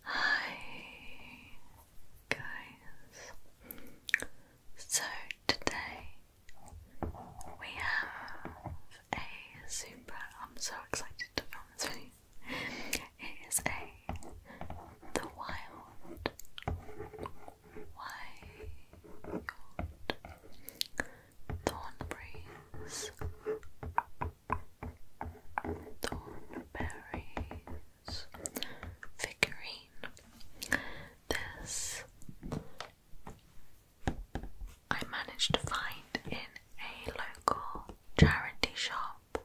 Hi guys. So today we have a super I'm so excited to film this video. It is a the wild wild thorn Thornberry's figurine. This I managed to find in a local charity shop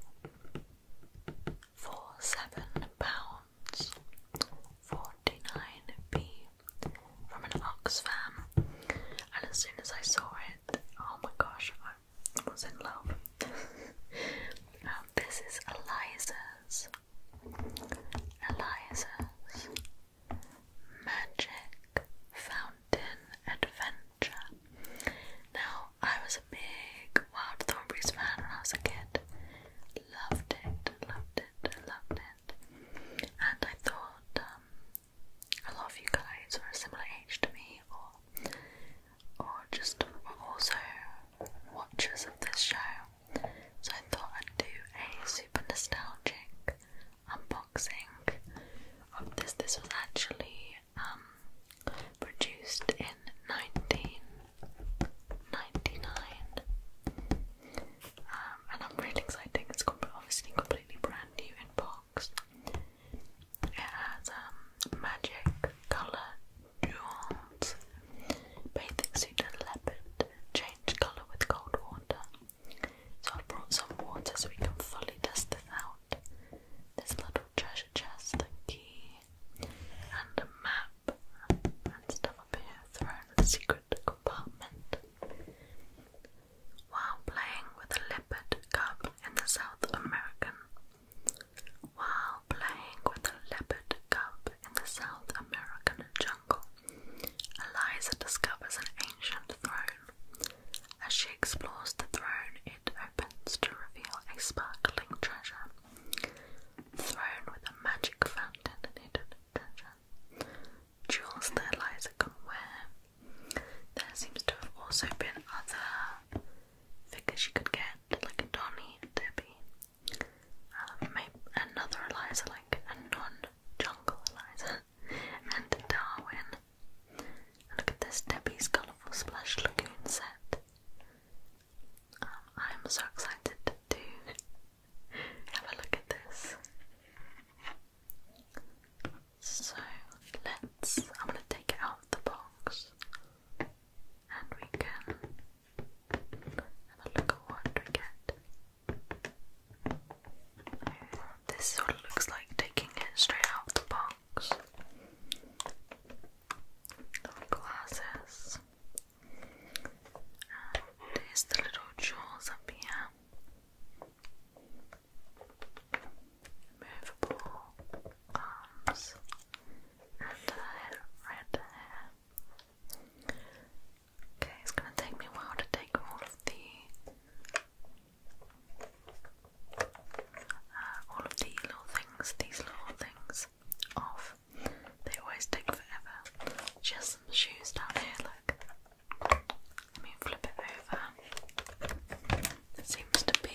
for seven pounds forty nine p from an Oxfam, and as soon as I saw it, oh my gosh, was in love. Um, this is Eliza's. Eliza's Magic Fountain Adventure. Now, I was a big Wild Thornberrys fan when I was a kid. Loved it, loved it, loved it. And I thought um, a you guys were a similar age to me, or or just also watchers of this show. So I thought I'd do a super nostalgic unboxing of this. This was actually um, produced in 1999. Um, and I'm really excited. It's obviously completely brand new in part. It has um, magic colour jewels. Bathing suit and leopard. Change colour with cold water. So I brought some water so we can fully test this out. This little treasure chest and key and a map and stuff up here thrown in the secret compartment. While playing with a leopard cub in the South American while playing with a leopard cub in the South American jungle, Eliza discovers an ancient throne. As she explores the throne, it opens to reveal a sparkling treasure. throne with a magic fountain and hidden treasure. Jewels that Eliza can wear, there seems to have also been other figures you could get, like a Donny, a Debbie, um, maybe another Eliza, like a non-jungle Eliza, and Darwin. look at this Debbie's colourful splash lagoon set. Um, I'm so excited to have a look at this. So let's, I'm going to take it out of the box and we can look at what we get. This sort of looks like taking it straight out of the box. glasses. And the little jaws up here movable arms and uh, red hair. Okay, it's going to take me a while to take all of the all of the little things, these little things off. They always take forever. Just some shoes down here, look. Let me flip it over. seems to be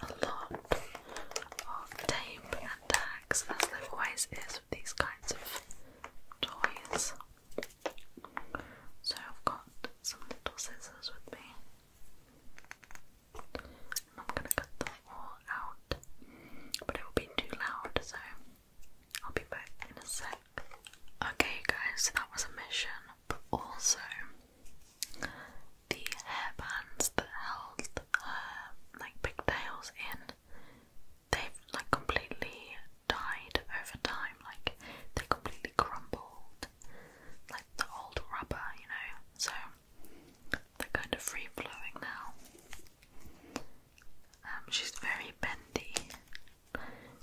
a lot of tape and as there always is with these kinds of toys. So I've got some little scissors with me. And I'm gonna cut them all out, but it will be too loud, so I'll be back in a sec. Okay, guys, so that was a mission, but also the hairbands that held like pigtails in, they like completely died over time, like they completely crumbled, like the old rubber, you know. So they're kind of free flowing now. Um, she's very bendy,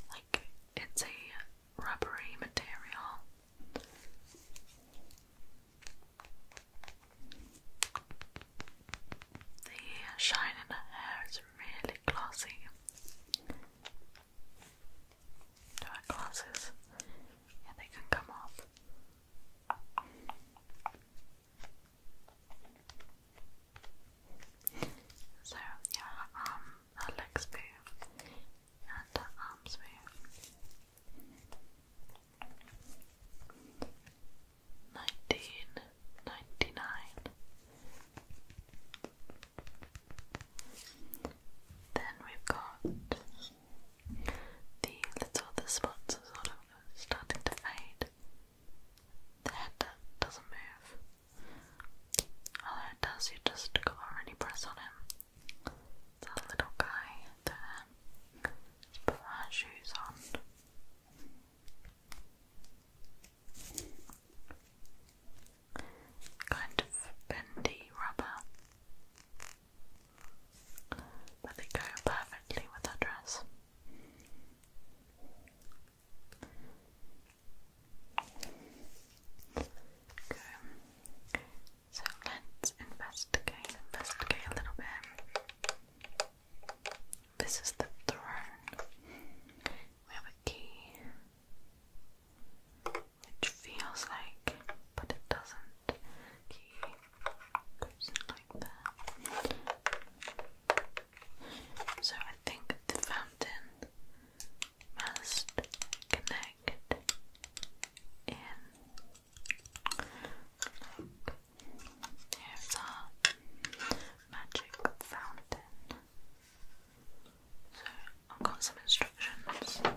like it's a rubbery material. The shine in the hair is really glossy. Do I have glasses? they can come off. So yeah, um, her under arms wear. Nineteen ninety nine. Then we've got the little the spots sort of starting to fade. The head doesn't move. Although it does, you just gotta press on him. That little guy there. let put our shoes on. Kind of bendy rubber, but they go perfectly with our dress. Okay. So let's investigate, investigate a little bit. This is the throne. We have a key, which feels like, but it doesn't. Key goes like that. So I think the fountain must connect in. Look, magic fountain. So I've got some instructions. Let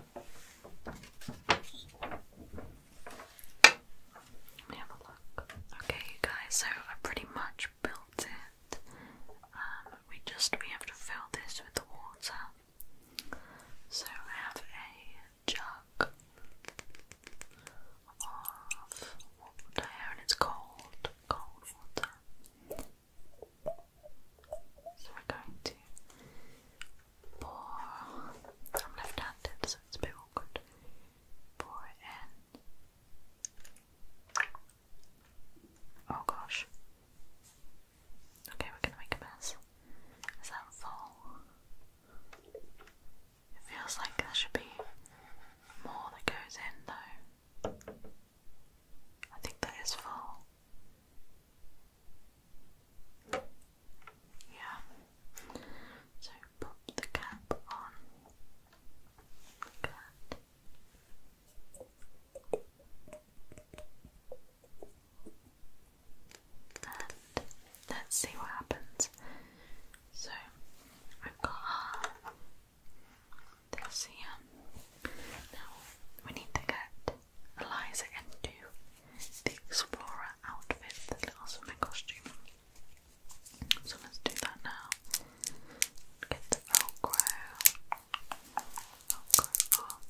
me have a look. Okay, guys, so I pretty much built it. Um, we just we have to fill this with water so I have a jug of water and it's cold, cold water. So we're going to pour, i left handed so it's a bit awkward, pour in. Oh gosh. Okay, we're gonna make a mess. Is that full? It feels like there should be more that goes in though. I think that is full. Yeah. So pop the cap on. Good let's see what happens. So I've got uh, this Now we need to get Eliza into the explorer outfit, the little summer costume. So let's do that now. Get the Velcro. Velcro off.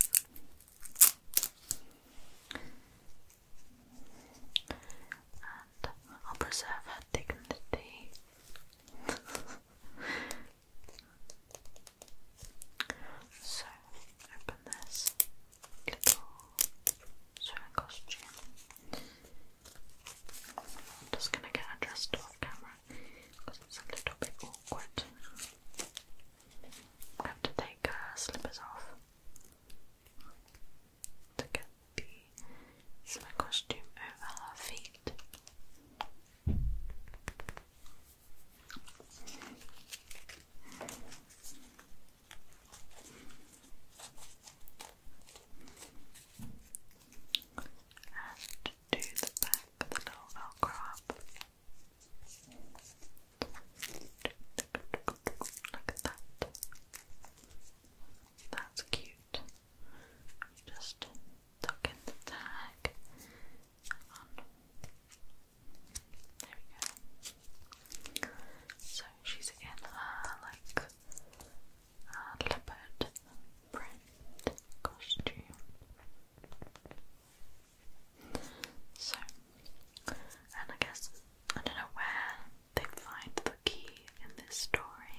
I'll preserve her dignity. so, open this little swimming costume. just gonna get her dressed off camera because it's a little bit awkward have to take uh, slippers off to get the summer costume over her feet. And do the back of the little velcro Look at that. That's cute. Just tuck in the tag. There we go. So she's in her like leopard print costume. So, and I guess I don't know where they find the key in this story.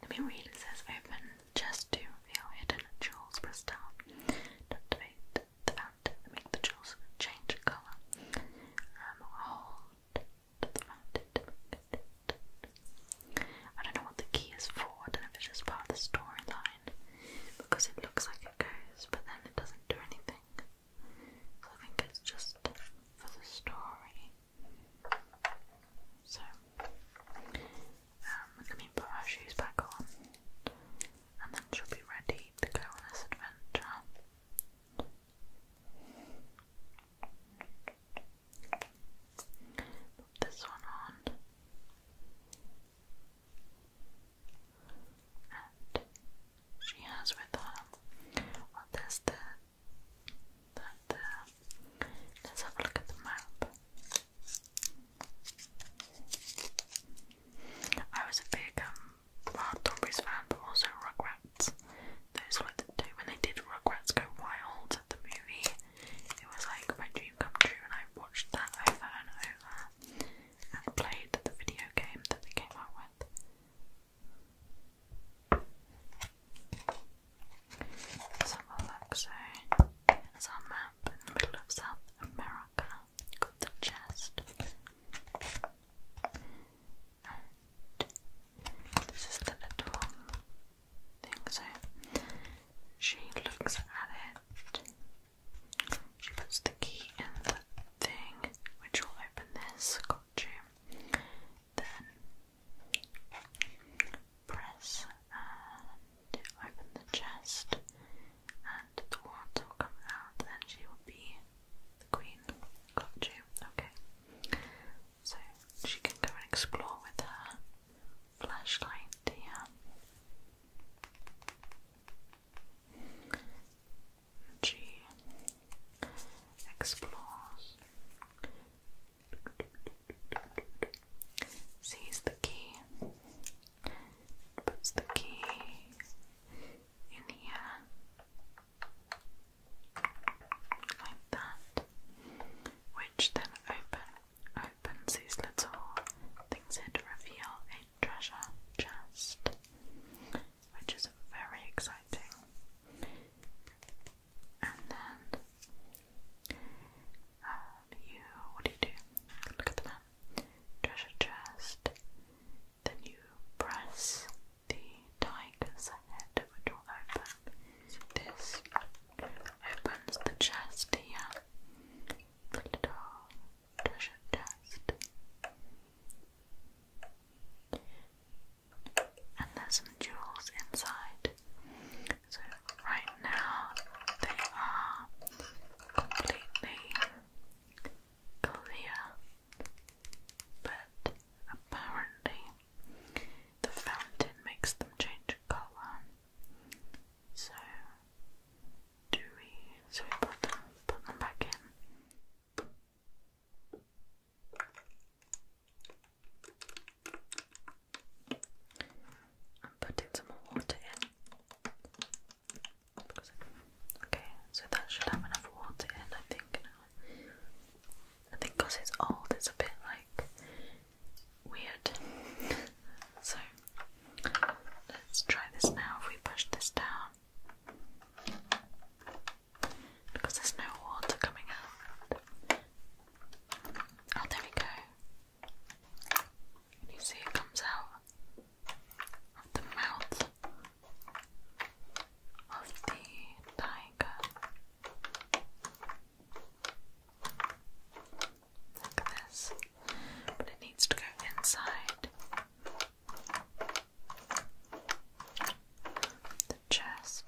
Let me read. It says, "Open just to reveal hidden jewels, crystal, activate to make the jewels change color. Um, hold the fountain." I don't know the key is for. I don't know if it's just part of the storyline because it looks like it goes, but then it doesn't do anything. So I think it's just for the story. So, um, let me put our shoes back on, and then she'll be ready to go on this adventure. this one on. And she has with her, well, there's let's have a look at the map. I was a big um, Wild Thornberries fan, but also Rugrats. Those were the two. When they did Rugrats Go Wild, the movie, it was like my come true, and I watched that over and over and played the video game that they came out with. Let's have a there's our map in the middle of South America called the Chest. this is the little thing. So, she looks at it. She puts the key in the thing, which will open this, got you. Then press and open the chest, and the water will come out, and she will be the queen, got you. Okay. So she can go and explore with her flashlight here. G explores, sees the key, puts the key in here. Like that, which then opens opens these little things here to reveal a treasure chest, which is very exciting. And then um, you, what do you do? Look at the Treasure chest. Then you press the tiger's head, which will open. this opens the chest here. The little treasure chest. And there's some jewels inside. So, right now, they are completely clear, but apparently, the fountain makes them change colour. So do we so we put them put them back in I'm putting some more water in okay so that should have enough water in I think I think it's old it's a bit like weird. so let's try this now if we push this down. Because there's no water coming out. Oh, there we go. you see it comes out of the mouth of the tiger? Look at this. But it needs to go inside the chest.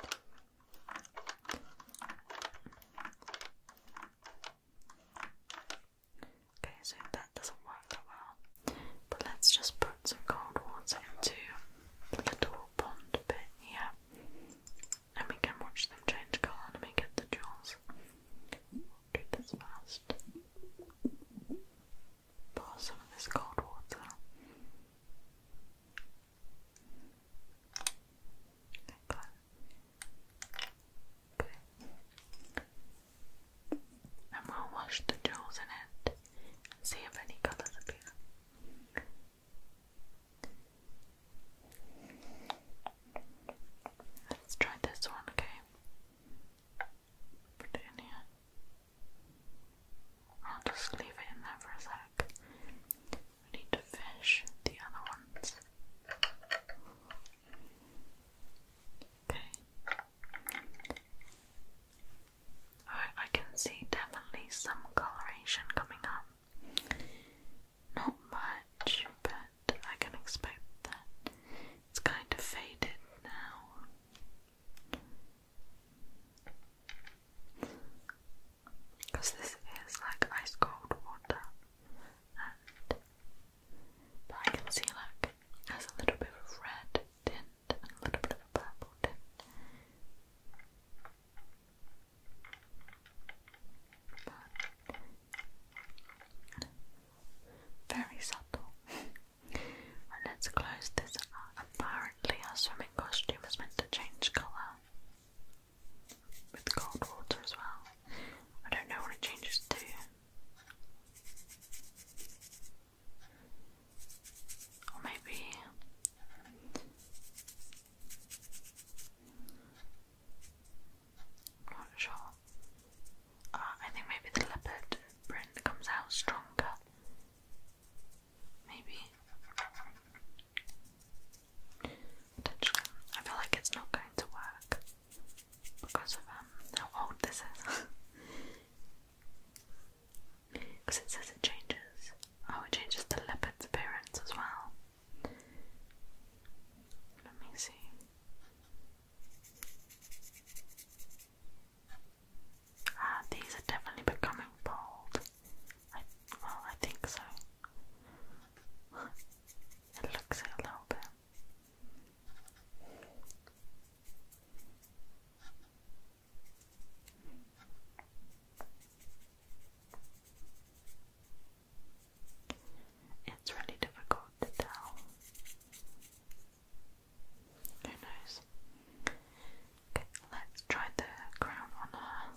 Okay, so that doesn't work that well. But let's just put some cold water into the little pond bit here. And we can watch them change colour and we get the jewels do this first. Pour some of this cold water. Like Okay. And we'll wash the jewels in it see if any colours appear. Let's try this one, okay? Put it in here. I'll just leave it in for a sec. We need to finish the other ones. Okay. Alright, I can see definitely some coloration coming up. Not much, but I can expect that. It's kind of faded now. Because this is like ice cold water, and but I can see like there's a little bit of red tint and a little bit of a purple tint. Very subtle. let's close this Apparently, our swimming costume is meant to change colour with cold water as well. I don't know what it changes to. Or maybe i not sure. Uh, I think maybe the leopard print comes out stronger. Maybe. Potentially. I feel like it's not going to work because of um, how old this is. Because it says it changes. Oh, it changes the leopard's appearance as well. Let me see. Ah, these are definitely becoming bald. well, I think so. It looks it a little bit. It's really difficult to tell. Who knows? Okay, let's try the crown on her.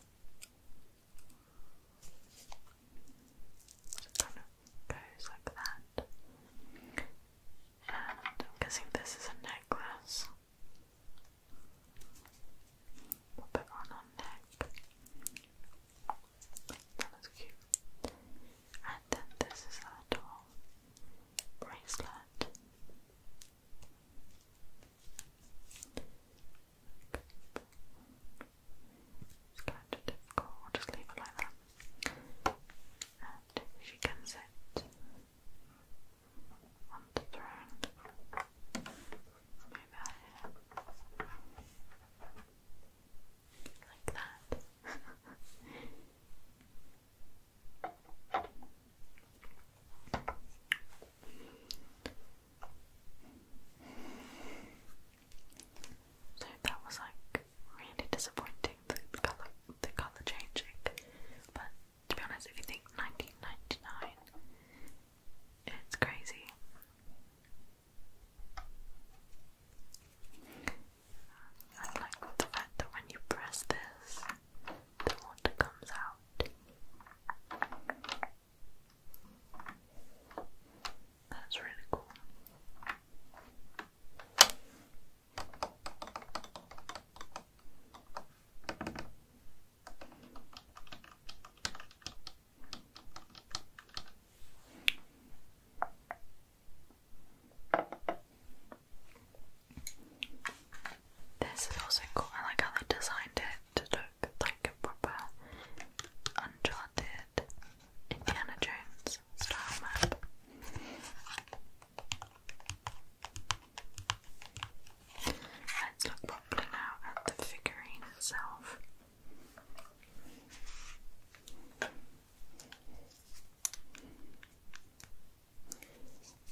kind of goes like that. And I'm guessing this is a necklace. Pop it on her neck. That looks cute. And then this is a little bracelet. It's kind of difficult, we'll just leave it like that. And she can sit on the throne. Move like so that was like really disappointing the color the color changing, but to be honest, if you think 1999, it's crazy. I like the fact that when you press this, the water comes out. That's really cool. This is also cool. I like how they designed it to look like a proper Uncharted Indiana Jones style map. Let's look properly now at the figurine itself.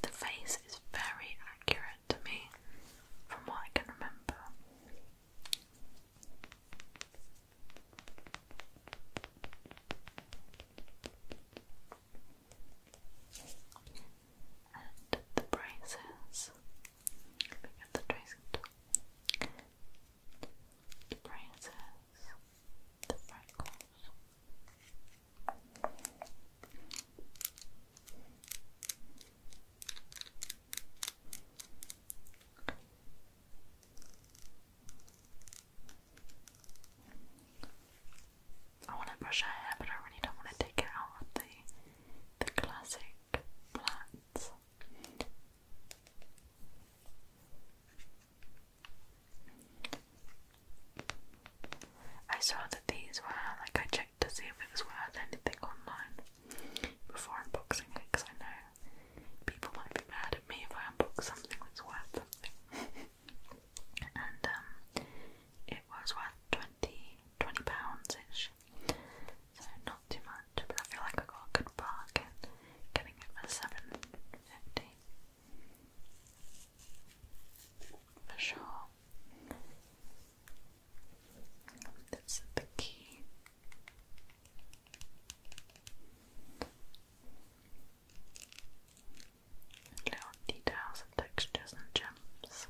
The face is very accurate to me from what I can remember. And the braces the braces, the freckles. I want to brush her hair, but I really don't want to take it out of the the classic plaits. I saw that these were like I checked to see if it was worth anything online before unboxing it because I know people might be mad at me if I unbox something that's worth something. and um, it was worth 20 pounds ish. So, not too much, but I feel like I got a good bargain getting it for seven fifty. For sure. That's the key. Little details and textures and gems.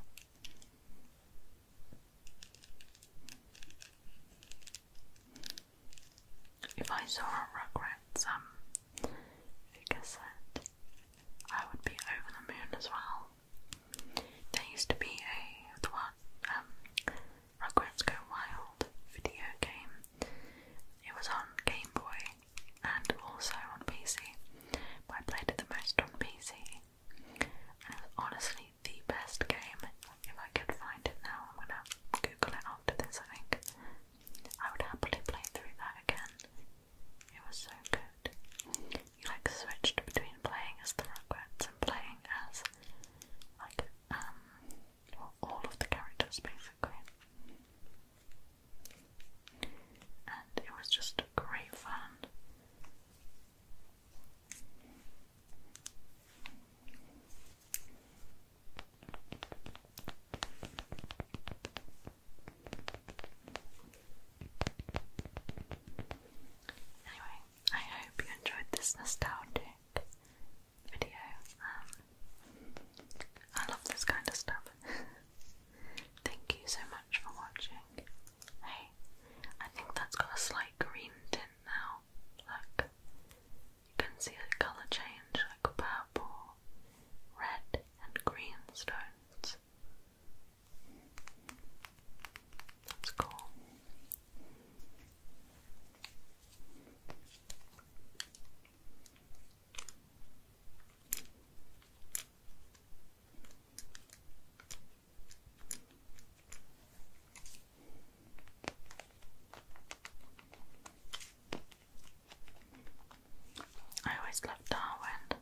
If I saw a Rugrats um, cassette, I would be over the moon as well. There used to be a the one um, Rugrats Go Wild video game. It was on Game Boy and also on PC, I played it the most on PC. And it was honestly the best game if I could find it now. I'm gonna Google it after this, I think. I would happily play through that again. It was so good. You like switched between playing as the Rugrats and playing as like um all of the characters basically. And it was just great fun. Anyway, I hope you enjoyed this nostalgic video. Um, I love this kind of stuff. Thank you so much for watching. Hey, I think that's got a slight green tint now now. Look, you can see the colour change like purple, red, and green stones. That's cool. I always loved Darwin.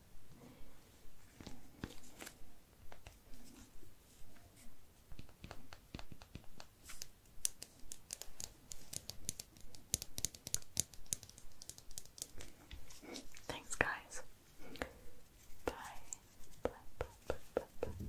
Thanks, guys. Bye.